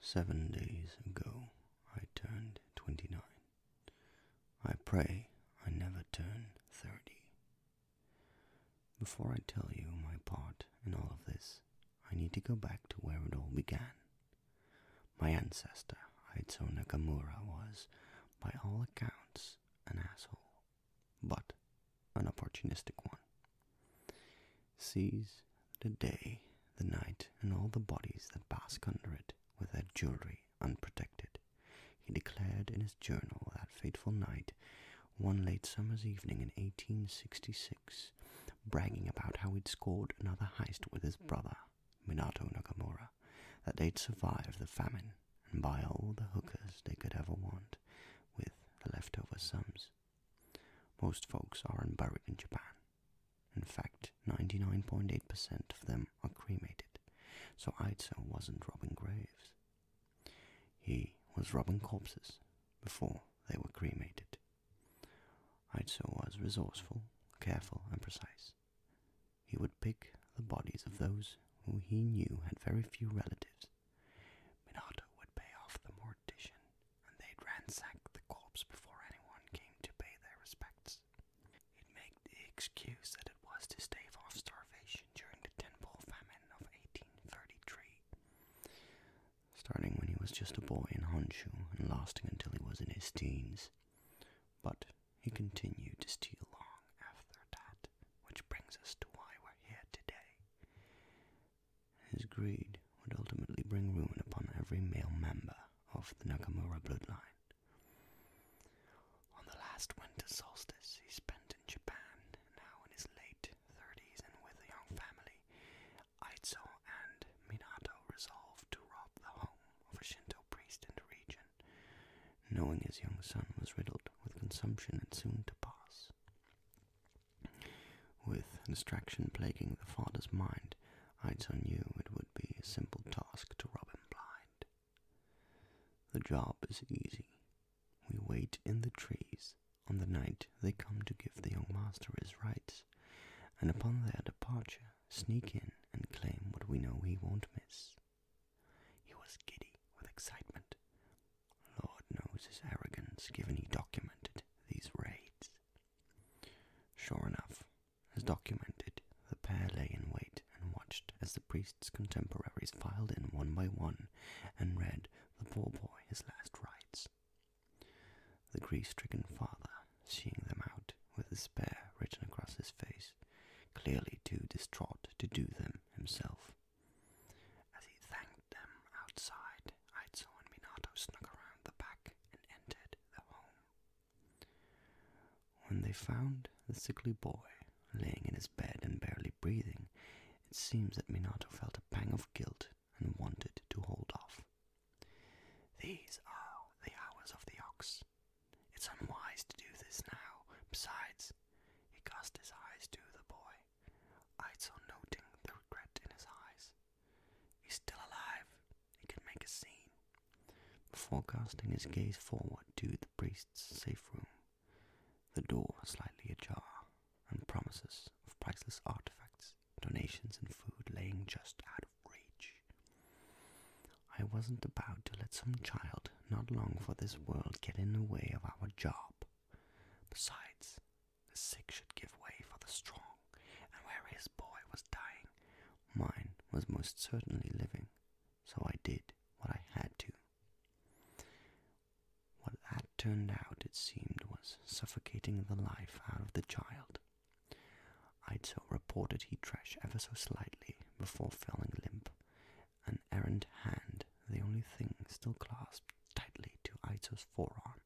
Seven days ago I turned twenty nine. I pray I never turn thirty. Before I tell you my part in all of this, I need to go back to where it all began. My ancestor, Aizo Nakamura, was, by all accounts, an asshole, but an opportunistic one. Seize the day, the night, and all the bodies that bask under it with their jewelry unprotected. He declared in his journal that fateful night, one late summer's evening in 1866, bragging about how he'd scored another heist with his brother, Minato Nakamura, that they'd survive the famine and buy all the hookers they could ever want with the leftover sums. Most folks aren't buried in Japan. In fact, 99.8% of them are cremated, so Aizo wasn't robbing graves. He was robbing corpses before they were cremated. Aizo was resourceful, careful, and precise. He would pick the bodies of those who he knew had very few relatives Minato would pay off the mortician, and they'd ransack the corpse before anyone came to pay their respects. He'd make the excuse that it was to stave off starvation during the Tenpo famine of 1833, starting when he was just a boy in Honshu and lasting until he was in his teens. But he continued to steal long after that, which brings us to why we're here today. His greed would ultimately bring ruin upon every male member of the Nakamura bloodline. On the last winter solstice he spent in Japan, now in his late 30s and with a young family, Aizo and Minato resolved to rob the home of a Shinto priest in the region, knowing his young son was riddled with consumption and soon to pass. With distraction plaguing the father's mind, Aizo knew it would be a simple task to rob him blind. The job is easy. We wait in the trees on the night they come to give the young master his rites, and upon their departure sneak in and claim what we know he won't miss. He was giddy with excitement, Lord knows his arrogance, given he documented these raids. Sure enough, as documented, the pair lay in wait and watched as the priest's contemporaries filed in one by one and read the poor boy his last rites. The grief-stricken father, seeing them out, with despair written across his face, clearly too distraught to do them himself, as he thanked them outside, Aizo and Minato snuck around the back and entered the home. When they found the sickly boy lying in his bed and barely breathing, it seems that Minato felt a pang of guilt and wanted to hold off. These are the hours of the ox. It's unwise to do this now. Besides, he cast his eyes to the boy I saw noting the regret in his eyes. He's still alive. He can make a scene. Before casting his gaze forward to the priest's safe room, the door slightly ajar, and promises of priceless artifacts, donations, and food laying just out of reach. I wasn't about to let some child, not long for this world, get in the way of our job. Besides, the sick should give way for the strong, and where his boy was dying, mine was most certainly living. So I did what I had to. What that turned out, it seemed, was suffocating the life out of the child. I'd so reported he'd trash ever so slightly before falling limp, an errant hand, the only thing still clasped tightly to Aito's forearm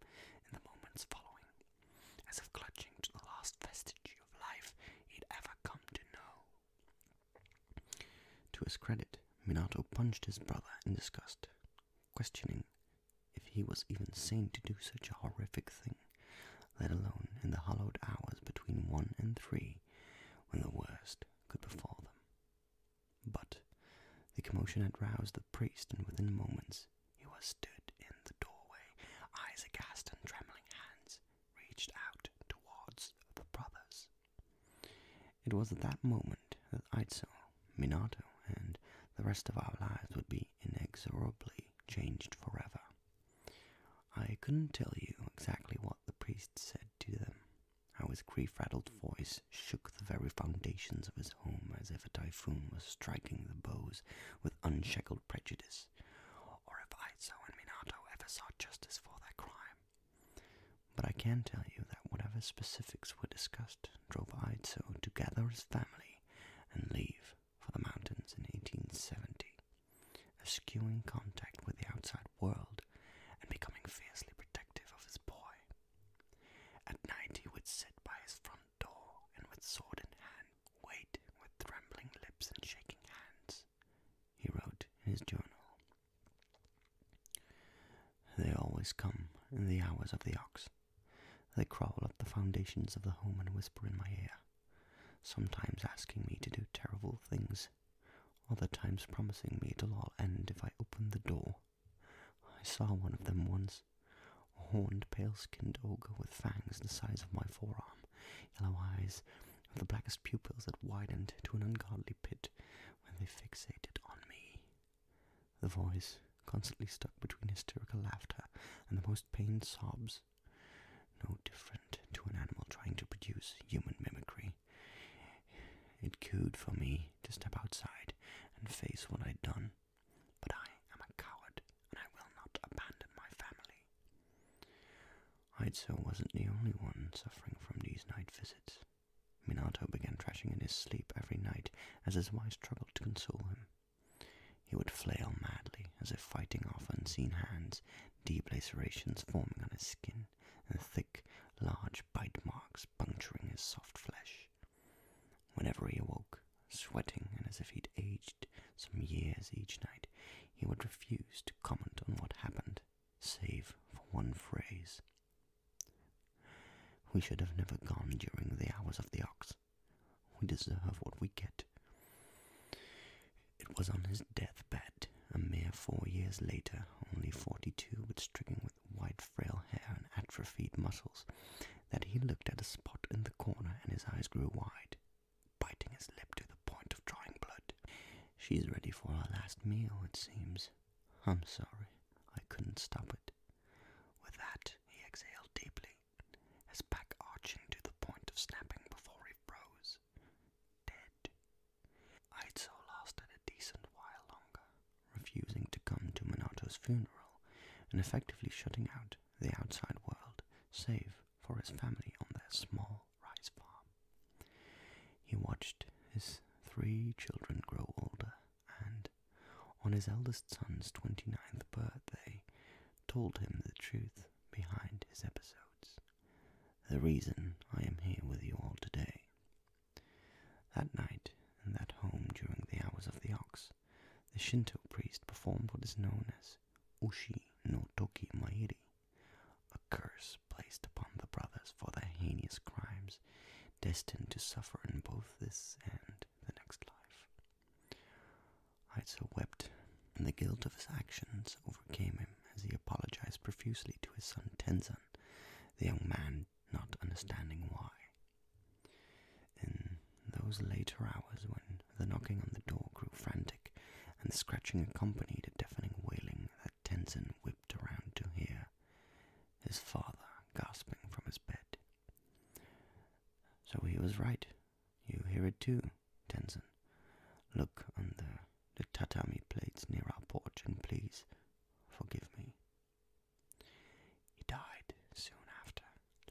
in the moments following, as if clutching to the last vestige of life he'd ever come to know. To his credit, Minato punched his brother in disgust, questioning if he was even sane to do such a horrific thing, let alone in the hollowed hours between one and three when the worst could befall them. But the commotion had roused the priest, and within moments he was stood in the doorway, eyes aghast and trembling hands reached out towards the brothers. It was at that moment that Aizo, Minato, and the rest of our lives would be inexorably changed forever. I couldn't tell you exactly what the priest said to them, how his grief-rattled voice shook the very foundations of his home as if a typhoon were striking the bows with unshackled prejudice, or if Aizo and Minato ever sought justice for their crime. But I can tell you that whatever specifics were discussed drove Aizo to gather his family and leave for the mountains in 1870, eschewing contact with the outside world and becoming fiercely protective of his boy. At night he would sit by his front door and with sword in hand wait with trembling lips and shaking hands. He wrote in his journal, They always come in the hours of the ox. They crawl up the foundations of the home and whisper in my ear, sometimes asking me to do terrible things, other times promising me it'll all end if I open the door. I saw one of them once. A horned, pale skinned ogre with fangs the size of my forearm, yellow eyes, with the blackest pupils that widened to an ungodly pit when they fixated on me. The voice constantly stuck between hysterical laughter and the most pained sobs. No different to an animal trying to produce human mimicry. It cooed for me to step outside and face what I'd done, but I am a coward and I will not abandon my family. I so wasn't the only one suffering from these night visits. Minato began thrashing in his sleep every night as his wife struggled to console him. He would flail madly as if fighting off unseen hands, deep lacerations forming on his skin and thick, large bite marks puncturing his soft flesh. Whenever he awoke, sweating and as if he'd aged some years each night, he would refuse to comment on what happened, save for one phrase. We should have never gone during the hours of the ox. We deserve what we get. It was on his deathbed, a mere four years later, only forty-two, but stricken with white frail hair and atrophied muscles that he looked at a spot in the corner and his eyes grew wide, biting his lip to the point of drawing blood. She's ready for her last meal, it seems. I'm sorry, I couldn't stop it. With that, he exhaled deeply, his back arching to the point of snapping before he froze. Dead, Aizo lasted a decent while longer, refusing to come to Manato's funeral and effectively shutting out the outside world, save for his family on their small rice farm. He watched his three children grow older and, on his eldest son's 29th birthday, told him the truth behind his episodes. The reason I am here with you all today that night, in that home during the hours of the ox, the Shinto priest performed what is known as Ushi no Toki Mairi, a curse placed upon the brothers for their heinous crimes, destined to suffer in both this and the next life. Aizo wept, and the guilt of his actions overcame him as he apologized profusely to his son Tenzin, the young man not understanding why. In those later hours when the knocking on the door grew frantic and the scratching accompanied a deafening wailing that Tenzin whipped around to hear, his father gasping from his bed. So he was right. You hear it too, Tenzin. Look on the the tatami plates near our porch, and please forgive me. He died soon after,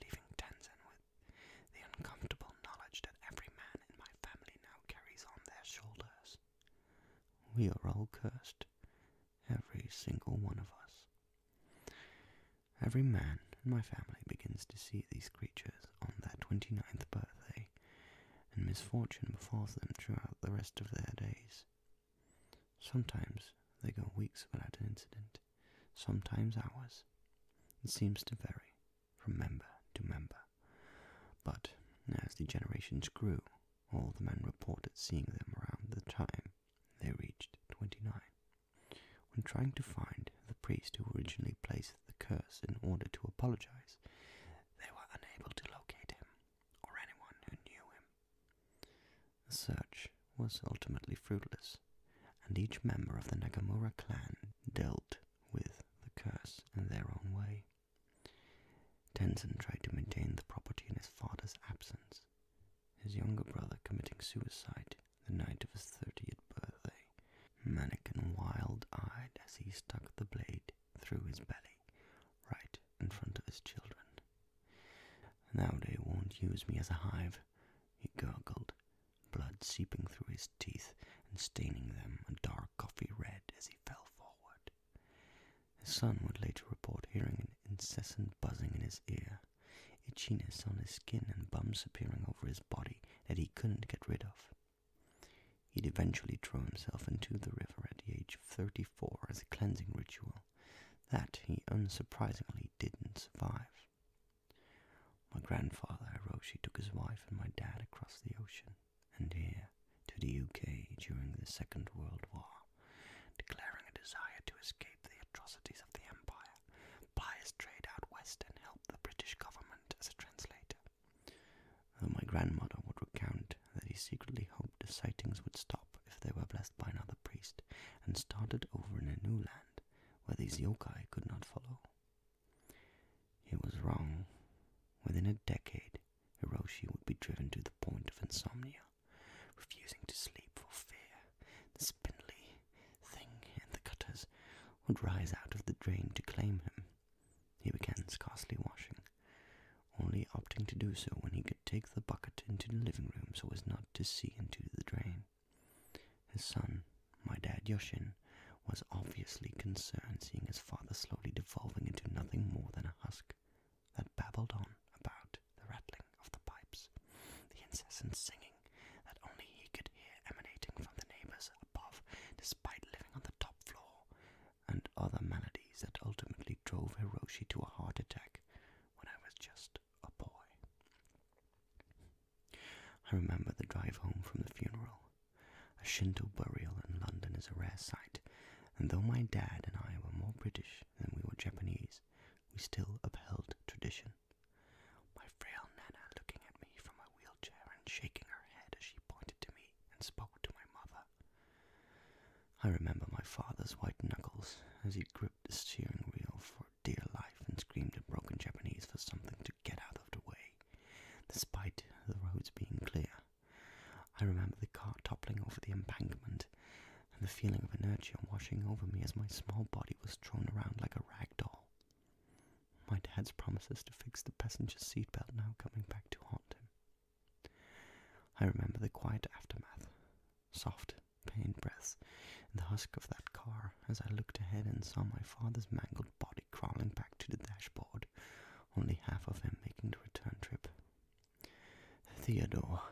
leaving Tenzin with the uncomfortable knowledge that every man in my family now carries on their shoulders. We are all cursed, every single one of us. Every man in my family begins to see these creatures on their 29th birthday and misfortune befalls them throughout the rest of their days. Sometimes they go weeks without an incident, sometimes hours. It seems to vary from member to member. But as the generations grew, all the men reported seeing them around the time they reached twenty-nine. When trying to find the priest who originally placed the curse in order to apologize, they were unable to locate him or anyone who knew him. The search was ultimately fruitless, and each member of the Nagamura clan dealt with the curse in their own way. Tenzin tried to maintain the property in his father's absence, his younger brother committing suicide the night of his 30th birthday, manic and wild eyed as he stuck the blade through his belly, right in front of his children. Now they won't use me as a hive, he gurgled, blood seeping through his teeth and staining them a dark coffee red as he fell forward. His son would later report hearing an incessant buzzing in his ear, itchiness on his skin and bumps appearing over his body that he couldn't get rid of. He'd eventually throw himself into the river at the age of 34 as a cleansing ritual that he unsurprisingly didn't survive. My grandfather Hiroshi took his wife and my dad across the ocean and here to the UK during the Second World War, declaring a desire to escape the atrocities of the Empire, ply his trade out west and help the British government as a translator. Though my grandmother would recount that he secretly hoped the sightings would stop if they were blessed by another priest and started over in a new land where these yokai could not follow. He was wrong. Within a decade, Hiroshi would be driven to the point of insomnia, refusing to sleep for fear. The spindly thing in the gutters would rise out of the drain to claim him, he began, scarcely washing, only opting to do so when he could take the bucket into the living room so as not to see into the drain. His son, my dad Yoshin, was obviously concerned seeing his father slowly devolving into nothing more than a husk that babbled on about the rattling of the pipes, the incessant singing that only he could hear emanating from the neighbors above, despite living on the top floor, and other maladies that ultimately drove Hiroshi to a heart attack when I was just a boy. I remember the drive home from the funeral. A Shinto burial in London is a rare sight, and though my dad and I were more British than we were Japanese, we still upheld tradition. My frail Nana looking at me from her wheelchair and shaking her head as she pointed to me and spoke to my mother. I remember my father's white knuckles as he gripped the steering wheel for dear life and screamed in broken Japanese for something to get out of the way, despite the roads being clear. I remember the car toppling over the embankment and the feeling of inertia washing over me as my small body was thrown around like a rag doll. My dad's promises to fix the passenger seat belt. now coming back to haunt him. I remember the quiet aftermath, soft, pain breaths, and the husk of that car as I looked ahead and saw my father's mangled body crawling back to the dashboard, only half of him making the return trip. Theodore,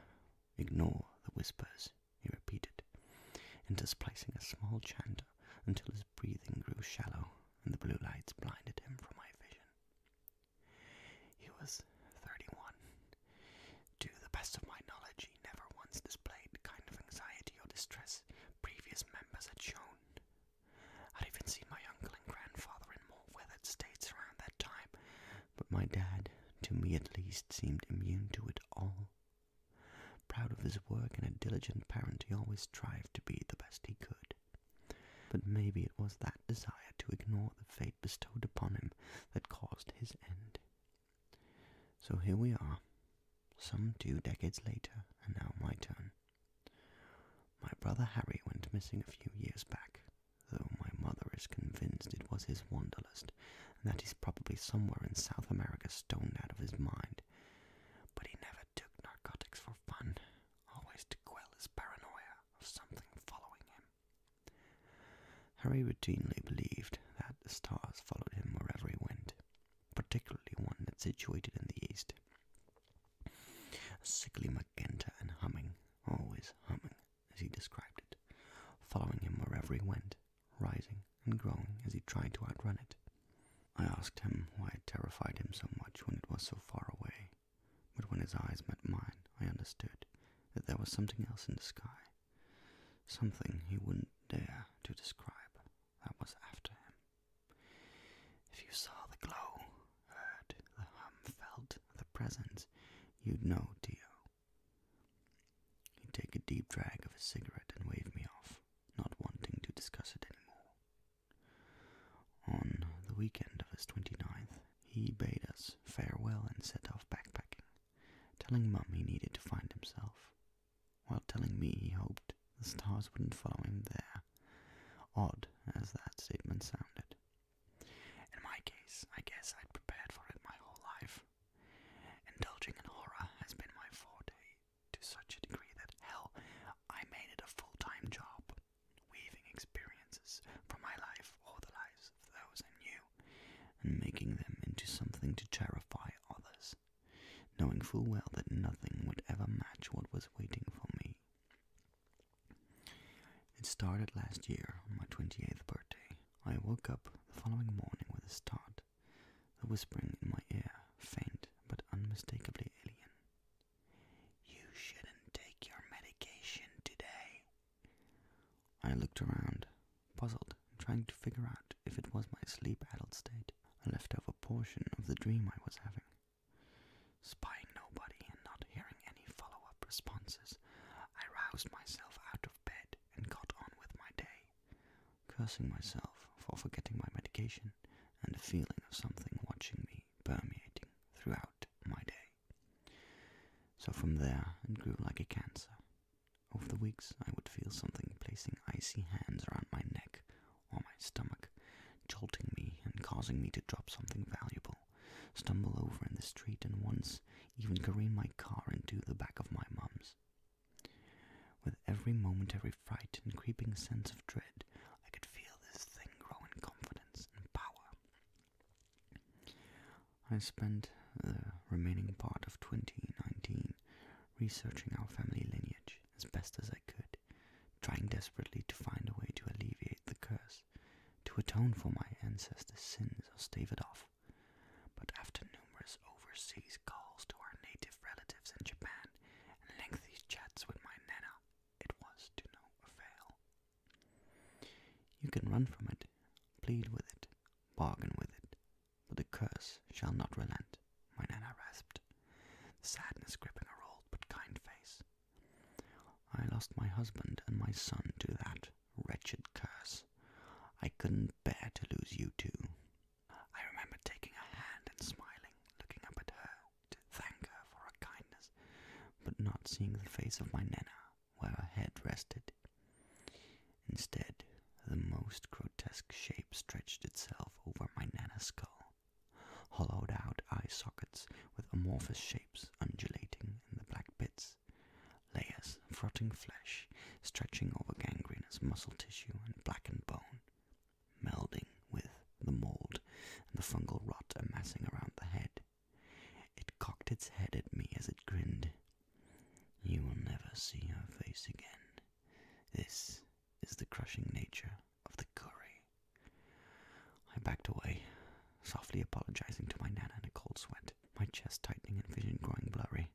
ignore the whispers, he repeated, interspersing a small chant until his breathing grew shallow and the blue lights blinded him from my vision. He was 31. To the best of my knowledge, he never once displayed the kind of anxiety or distress previous members had shown. I'd even seen my uncle and grandfather in more weathered states around that time, but my dad, to me at least, seemed immune to it all. Proud of his work and a diligent parent, he always tried to be the best he could. But maybe it was that desire to ignore the fate bestowed upon him that caused his end. So here we are, some two decades later, and now my turn. My brother Harry went missing a few years back, though my mother is convinced it was his wanderlust, and that he's probably somewhere in South America stoned out of his mind. But he never took narcotics for fun, always to quell his paranoia of something following him. Harry routinely believed that the stars followed him wherever he went, particularly one that's situated in the east. sickly magenta and humming, always humming, as he described it, following him wherever he went, rising and growing as he tried to outrun it. I asked him why it terrified him so much when it was so far away, but when his eyes met mine, I understood that there was something else in the sky, something he wouldn't dare to describe, that was after him. If you saw the glow, heard the hum, felt the presence, you'd know, Tio. He'd take a deep drag of his cigarette and wave me off, not wanting to discuss it anymore. On the weekend of his 29th, he bade us farewell and set off backpacking, telling Mum he needed to find himself, while telling me he hoped the stars wouldn't follow him there, odd as that statement sounded. In my case, I guess I'd prepared for it my whole life. Indulging in horror has been my forte to such a degree that, hell, I made it a full time job, weaving experiences from my life or the lives of those I knew, and making them into something to terrify others, knowing full well that nothing would ever match what was waiting for me. It started last year on my 28th birthday. I woke up the following morning with a start the whispering in my ear, faint but unmistakably alien. You shouldn't take your medication today. I looked around, puzzled, trying to figure out if it was my sleep-addled state, a leftover portion of the dream I was having. Spying nobody and not hearing any follow-up responses, I roused myself out of bed and got on with my day cursing myself for forgetting my medication and the feeling of something watching me permeating throughout my day. So from there it grew like a cancer. Over the weeks I would feel something placing icy hands around my neck or my stomach, jolting me and causing me to drop something valuable, stumble over in the street and once even careen my car into the back of my mum's. With every moment, every fright and creeping sense of dread, I could feel this thing grow in confidence and power. I spent the remaining part of 2019 researching our family lineage as best as I could, trying desperately to find a way to alleviate the curse, to atone for my ancestors' sins or stave it off. But after numerous overseas calls to our native relatives in Japan and lengthy chats with my Nana, it was to no avail. You can run from it, plead with it, bargain with it, but the curse shall not relent, my Nana rasped, sadness gripping her old but kind face. I lost my husband and my son to that wretched curse. I couldn't bear to lose you too. I remember taking her hand and smiling, looking up at her to thank her for her kindness, but not seeing the face of my Nana where her head rested. Instead, the most grotesque shape stretched itself over my Nana's skull, hollowed out eye sockets with amorphous shapes undulating in the black pits, layers of rotting flesh stretching over gangrenous muscle tissue and blackened bone, melding with the mold and the fungal rot amassing around the head. It cocked its head at me as it grinned. You will never see her face again. This is the crushing nature of the curry. I backed away, softly apologizing to my nan in a cold sweat, my chest tightening and vision growing blurry.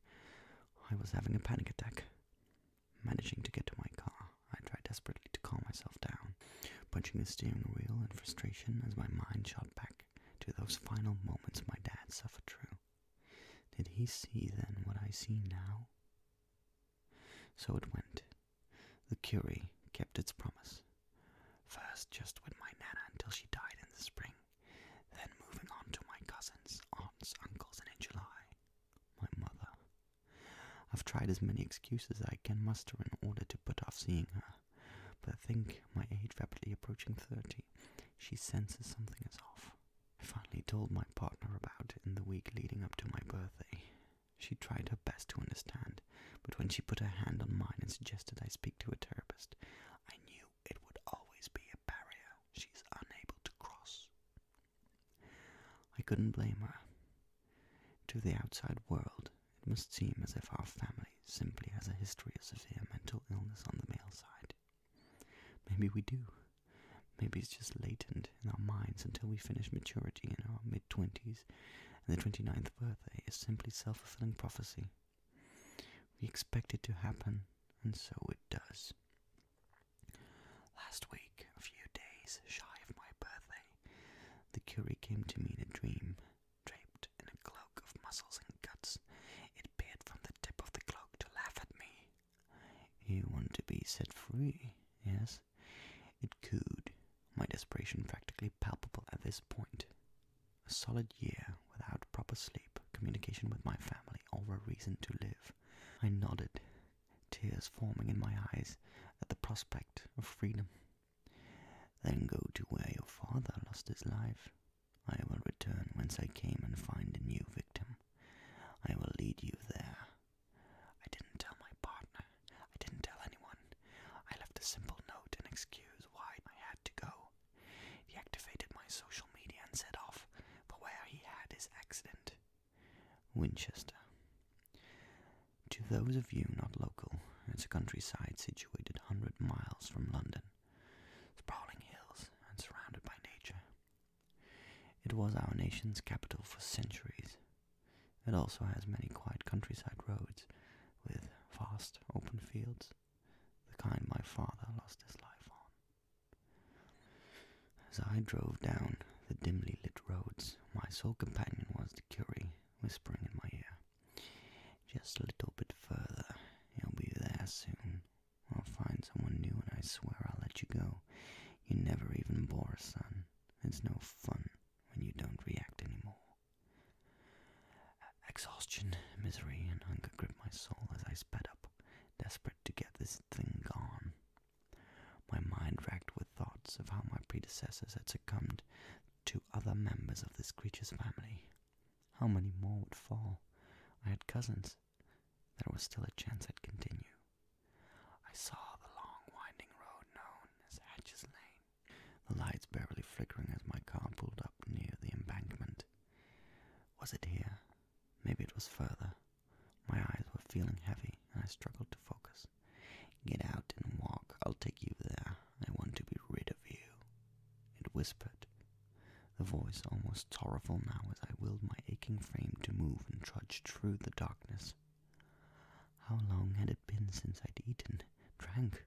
I was having a panic attack. Managing to get to my car, I tried desperately to calm myself down, punching the steering wheel in frustration as my mind shot back to those final moments my dad suffered through. Did he see then what I see now? So it went. The Curie kept its promise. First, just with my nana until she died in the spring, then moving on to my cousins, aunts, uncles, and in July my mother. I've tried as many excuses I can muster in order to put off seeing her, but I think my age rapidly approaching thirty, she senses something is off. I finally told my partner about it in the week leading up to my birthday. She tried her best to understand, but when she put her hand on mine and suggested I speak to a therapist, I knew it would always be a barrier she's unable to cross. I couldn't blame her. To the outside world, it must seem as if our family simply has a history of severe mental illness on the male side. Maybe we do. Maybe it's just latent in our minds until we finish maturity in our mid twenties, and the 29th birthday is simply self fulfilling prophecy. We expect it to happen, and so it does. Last week, a few days shy of my birthday, the Curie came to me in a dream, draped in a cloak of muscles and guts. It peered from the tip of the cloak to laugh at me. You want to be set free, yes? It cooed, my desperation practically palpable at this point. A solid year without proper sleep, communication with my family, or a reason to live. I nodded, tears forming in my eyes at the prospect of freedom. Then go to where your father lost his life. I will return whence I came and find a new victim. I will lead you there. I didn't tell my partner. I didn't tell anyone. I left a simple note and excuse why I had to go. He activated my social media and set off for where he had his accident Winchester. To those of you not local, it's a countryside situated 100 miles from London, sprawling hills and surrounded by nature. It was our nation's capital for centuries. It also has many quiet countryside roads with vast open fields, the kind my father lost his life on. As I drove down the dimly lit roads, my sole companion was the Curie, whispering in my ear, Just a little bit further, you'll be there soon. I'll find someone new and I swear I'll let you go. You never even bore a son. It's no fun when you don't react anymore. Exhaustion, misery, and hunger gripped my soul as I sped up, desperate to get this thing gone. My mind racked with thoughts of how my predecessors had succumbed to other members of this creature's family. How many more would fall? I had cousins. There was still a chance I'd continue. I saw the long winding road known as Hatch's Lane, the lights barely flickering as my car pulled up near the embankment. Was it here Maybe it was further. My eyes were feeling heavy, and I struggled to focus. Get out and walk. I'll take you there. I want to be rid of you. It whispered, the voice almost sorrowful now as I willed my aching frame to move and trudged through the darkness. How long had it been since I'd eaten, drank?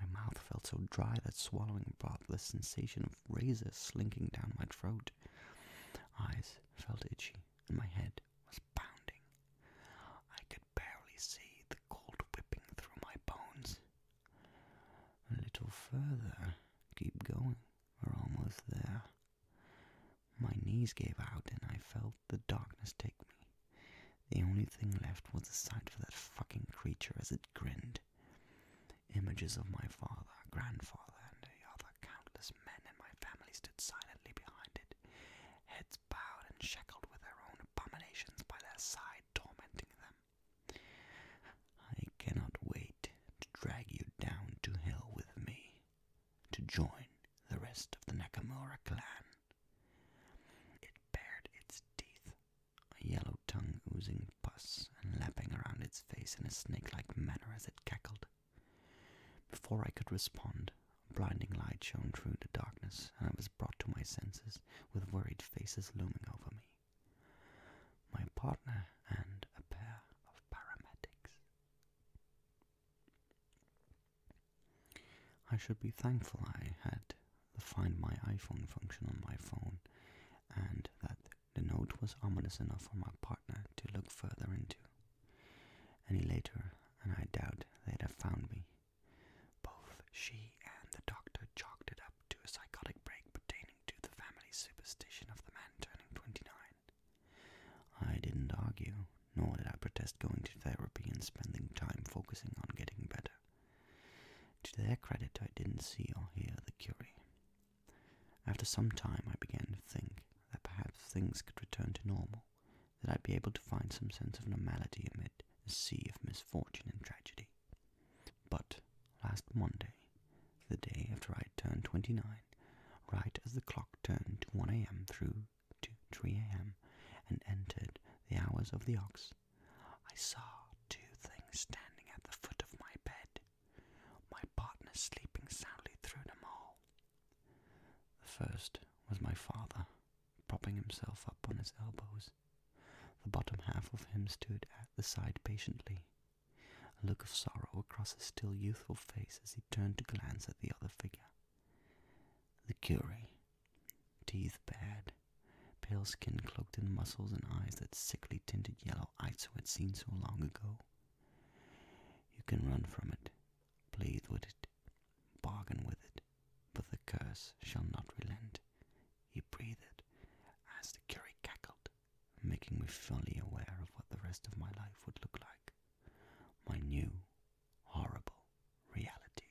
My mouth felt so dry that swallowing brought the sensation of Razor slinking down my throat. Eyes felt itchy, and my head was pounding. I could barely see the cold whipping through my bones. A little further, keep going, we're almost there. My knees gave out, and I felt the darkness take me. The only thing left was the sight of that fucking creature as it grinned. Images of my father, grandfather, and the other countless men in my family stood silently behind it, heads bowed and shackled with their own abominations by their side, tormenting them. I cannot wait to drag you down to hell with me, to join the rest of the Nakamura clan. It bared its teeth a yellow tongue oozing pus and lapping around its face in a snake-like manner as it cackled. Before I could respond, a blinding light shone through the darkness, and I was brought to my senses with worried faces looming over me. My partner and a pair of paramedics. I should be thankful I had the Find My iPhone function on my phone and that the note was ominous enough for my partner to look further into. Any later, and I doubt they'd have found me. Both she and the doctor chalked it up to a psychotic break pertaining to the family superstition of the man turning 29. I didn't argue, nor did I protest going to therapy and spending time focusing on getting better. To their credit, I didn't see or hear the Curie. After some time, I began to think that perhaps things could return to normal, that I'd be able to find some sense of normality amid a sea of misfortune and tragedy. But last Monday, the day after I had turned 29, right as the clock turned to 1 a.m. through to 3 a.m. and entered the hours of the ox, I saw two things standing at the foot of my bed, my partner sleeping soundly through them all. The first was my father, propping himself up on his elbows. The bottom half of him stood at the side patiently, a look of sorrow across his still youthful face as he turned to glance at the other figure. The Curie, teeth bared, pale skin cloaked in muscles and eyes that sickly tinted yellow Aizu had seen so long ago. You can run from it, plead with it, bargain with it, but the curse shall not relent. He breathed as the curry cackled, making me fully aware of what the rest of my life would look like. My new, horrible reality.